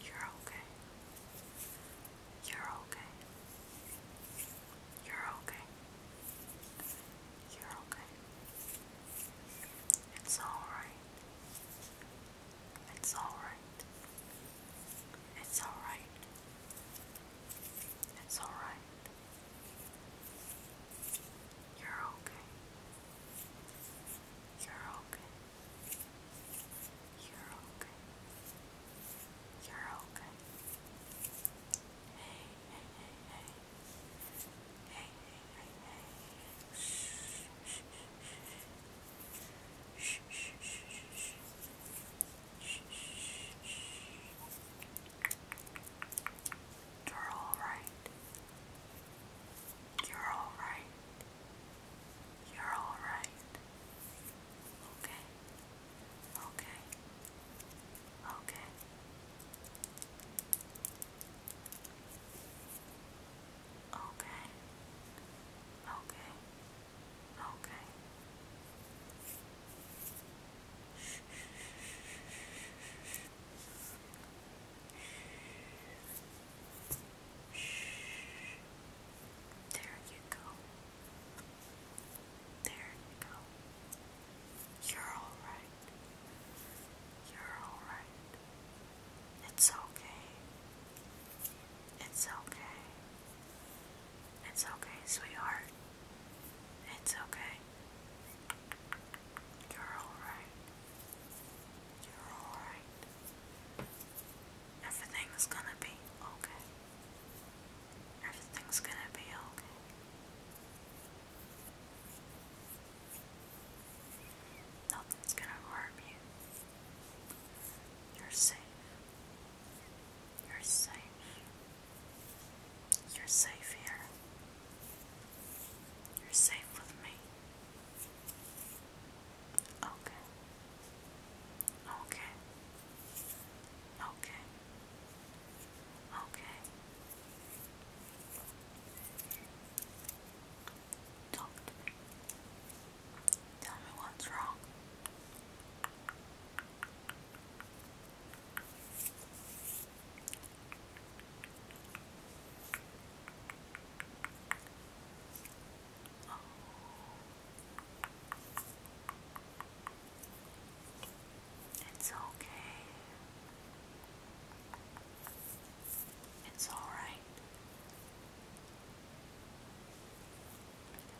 You're okay. You're okay. You're okay. You're okay. It's alright. It's alright. It's alright. It's alright. You're okay. You're okay. You're okay. You're okay. Hey, hey, hey, hey. You're all right. You're all right. You're all right. Okay. Okay. Okay. Okay. Okay. Okay. Shh, shh, shh, shh. There you go. There you go. You're all right. You're alright. It's okay. It's okay. It's okay, sweetheart. It's okay. You're alright. You're alright. Everything's gonna be okay. Everything's gonna be okay. Nothing's gonna harm you. You're safe. You're safe. You're safe here. You're safe with me. Okay. Okay. Okay. Okay. Talk Tell me what's wrong. Oh. It's okay. It's all right.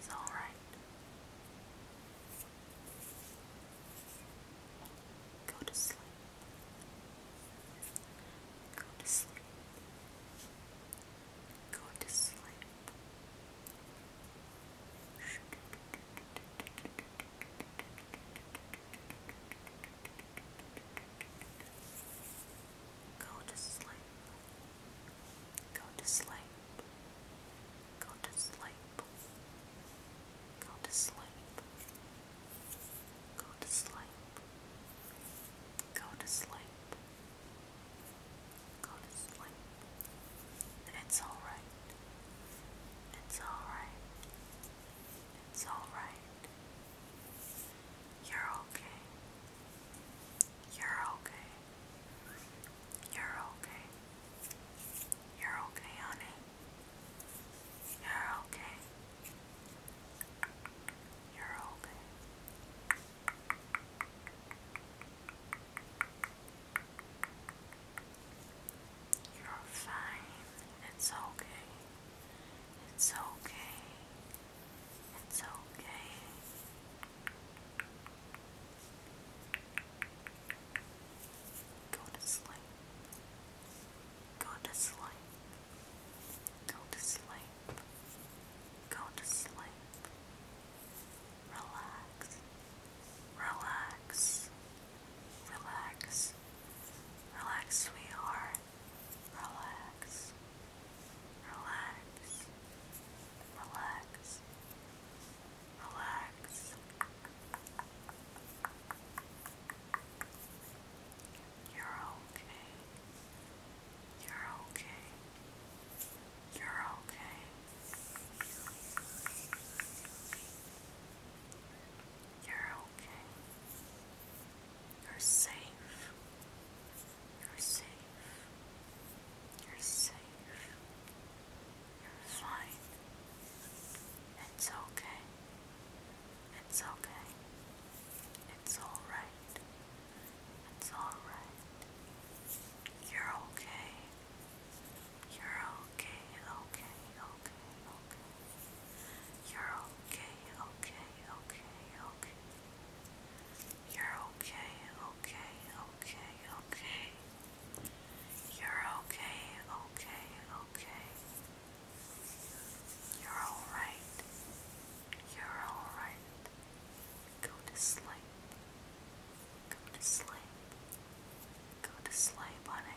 It's all right. Go to sleep. Go to sleep. Go to sleep. Go Go to sleep. Go to sleep. Go to sleep. Go to sleep. Go to sleep. Go to sleep. It's alright. It's alright. It's alright. You're okay. You're okay. You're okay. You're okay, honey. You're okay. You're okay. You're fine. It's okay. It's okay. It's okay. Go to sleep. Go to sleep. Go to sleep. Go to sleep. Relax. Relax. Relax. Relax, sweetheart. Relax. Relax. Relax. Relax. You're okay. You're okay. You're okay. You're okay. You're safe. You're safe. You're safe. You're fine. It's okay. It's okay. It's alright. It's alright. You're okay. You're okay, okay, okay, okay. You're okay, okay, okay, okay. You're okay, okay, okay, okay. You're okay, okay, okay. You're alright. You're alright. Go to sleep. Go to sleep. Go to sleep, honey.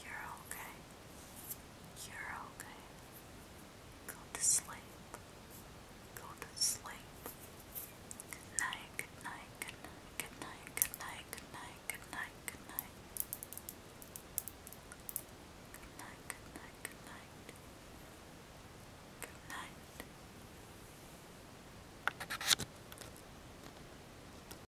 You're okay. You're okay. Go to sleep. Go to sleep. Good night, good night, good night, good night, good night, good night, good night, good night. Good night, good night, good night.